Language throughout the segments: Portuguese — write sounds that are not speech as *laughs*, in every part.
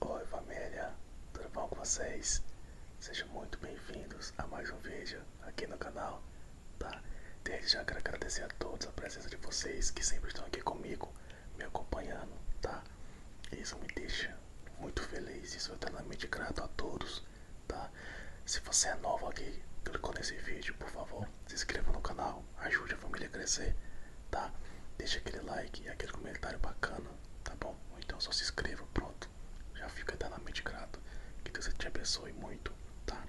Oi família, tudo bom com vocês? Sejam muito bem-vindos a mais um vídeo aqui no canal, tá? Desde já quero agradecer a todos a presença de vocês que sempre estão aqui comigo, me acompanhando, tá? Isso me deixa muito feliz e sou é eternamente grato a todos, tá? Se você é novo aqui, clicou nesse vídeo, por favor, se inscreva no canal, ajude a família a crescer, tá? Deixa aquele like e aquele comentário bacana, tá bom? Ou então só se inscreva, pronto. Já fica mente grato. Que Deus te abençoe muito, tá?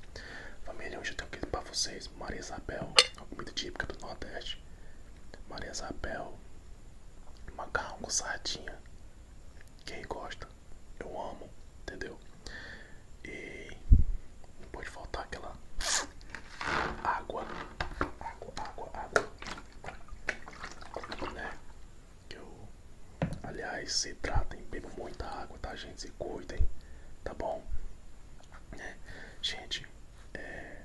Família, hoje eu tenho aqui pra vocês Maria Isabel, uma comida típica do Nordeste. Maria Isabel, macarrão com sardinha. Quem gosta, eu amo, entendeu? E não pode faltar aquela água água, água, água. Né? Que eu... Aliás, se tratem, bebam muita água, tá, gente? Se cuidem, tá bom? Né? Gente, é...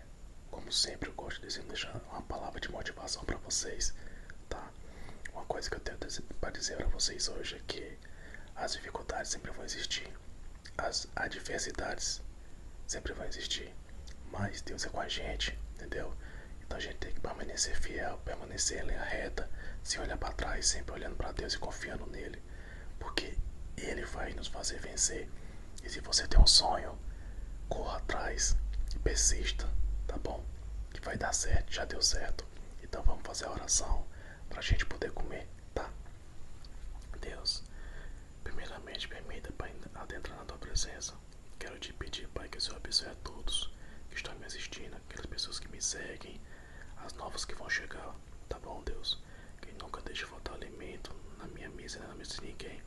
como sempre, eu gosto de dizer, deixar uma palavra de motivação para vocês, tá? Uma coisa que eu tenho para dizer para vocês hoje é que as dificuldades sempre vão existir, as adversidades sempre vão existir. Mas Deus é com a gente, entendeu? Então a gente tem que permanecer fiel, permanecer em linha reta, sem olhar para trás, sempre olhando para Deus e confiando nele, porque ele vai nos fazer vencer. E se você tem um sonho, corra atrás e persista, tá bom? Que vai dar certo, já deu certo. Então vamos fazer a oração para a gente poder comer, tá? Deus, Primeiramente, permita, Pai, adentrar na tua presença. Quero te pedir, Pai, que o Senhor abençoe a todos que estão me assistindo, aquelas pessoas que me seguem, as novas que vão chegar, tá bom, Deus? Que nunca deixe faltar alimento na minha mesa e na mesa de ninguém.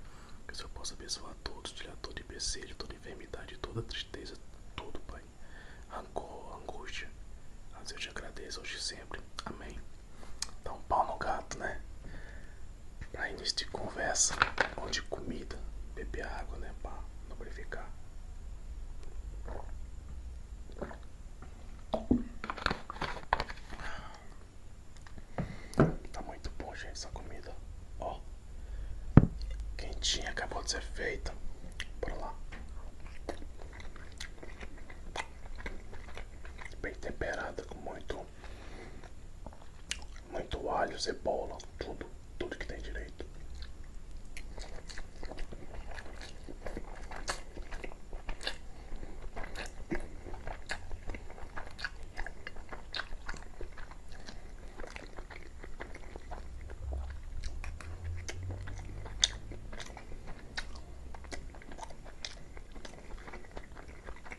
Que o Senhor possa abençoar todos, tirar todo empecilho, toda enfermidade, toda tristeza, tudo, Pai. Rancor, angústia. Mas eu te agradeço hoje e sempre. Amém. Dá um pau no gato, né? para início de conversa, onde comida, beber água, né, para lubrificar. Tá muito bom, gente, essa comida, ó, quentinha, acabou de ser feita, bora lá. Bem temperada, com muito muito alho, cebola, tudo, tudo que tem direito.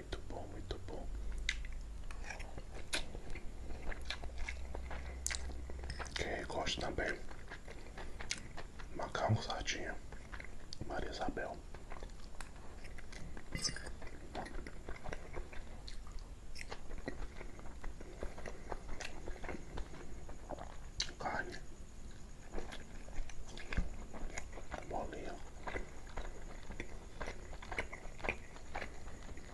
Muito bom, muito bom. Quem gosta também. Macarrão sardinha. Maria Isabel. Carne. Molinha.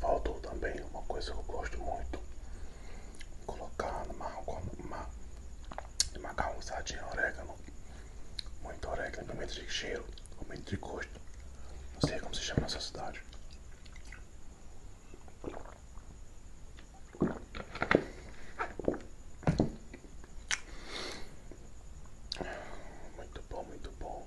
Faltou também uma coisa que eu gosto muito. Colocar no macarrão, ma, macarrão usadinho orégano. Muito orégano, pimenta de cheiro, pimenta de gosto. Não sei como se chama nessa cidade. Muito bom, muito bom.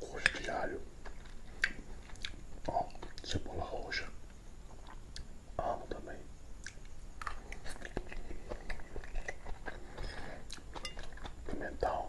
gosto de alho, ó, cebola roxa, amo também. Pimentão.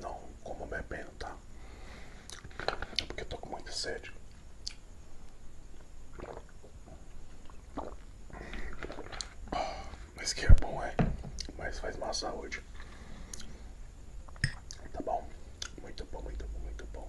Não como bebendo, tá? É porque eu tô com muita sede. Ah. Mas que é bom, é. Mas faz má saúde. Tá bom? Muito bom, muito bom, muito bom.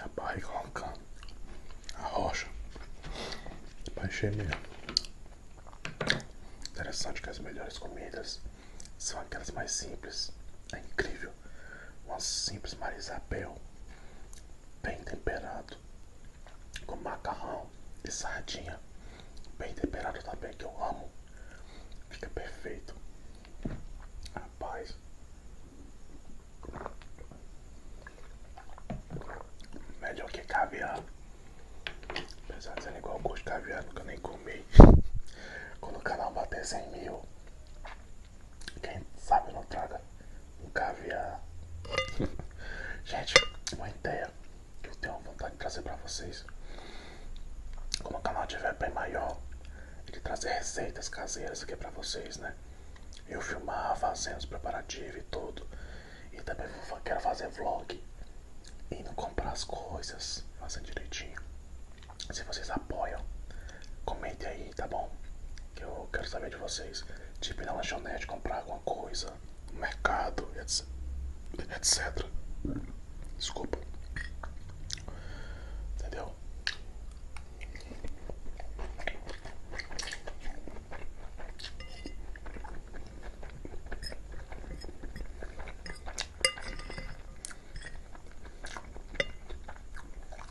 A barriga roncando, a rocha vai gemer. Interessante que as melhores comidas são aquelas mais simples. É incrível. Uma simples Marisabel bem temperado, com macarrão e sardinha, bem temperado também, que eu amo, fica perfeito. Rapaz, melhor que caviar, apesar de ser igual gosto de caviar, nunca nem comi. *laughs* Quando o canal bater 100 mil, quem sabe não traga um caviar. *laughs* Gente, uma ideia que eu tenho vontade de trazer pra vocês. Como o canal tiver bem maior, de trazer receitas caseiras aqui pra vocês, né? Eu filmar, fazendo os preparativos e tudo. E também quero fazer vlog. Indo comprar as coisas, fazendo direitinho. Se vocês apoiam, comentem aí, tá bom? que Eu quero saber de vocês. Tipo ir na lanchonete, comprar alguma coisa, no mercado, etc. etc. Desculpa. Entendeu?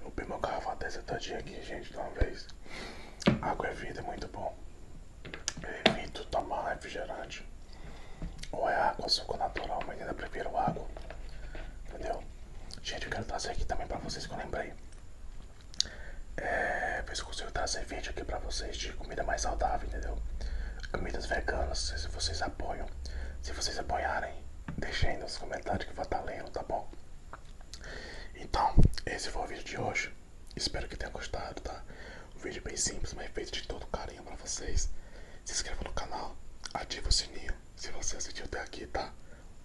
Eu bebi uma garrafa dessa todinha aqui, gente, de uma vez. Água é vida, é muito bom. evito tomar refrigerante. Ou é água, suco natural, mas ainda prefiro água. Entendeu? Gente, eu quero trazer aqui também pra vocês que eu lembrei. É, ver se eu consigo trazer vídeo aqui pra vocês de comida mais saudável, entendeu? camisas veganas, se vocês apoiam. Se vocês apoiarem, deixem nos comentários que eu vou estar lendo, tá bom? Então, esse foi o vídeo de hoje. Espero que tenha gostado, tá? Um vídeo bem simples, mas feito de todo carinho pra vocês. Se inscreva no canal, ative o sininho se você assistiu até aqui, tá?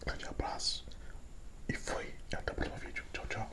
Um grande abraço e fui. Até o próximo vídeo. Tchau, tchau.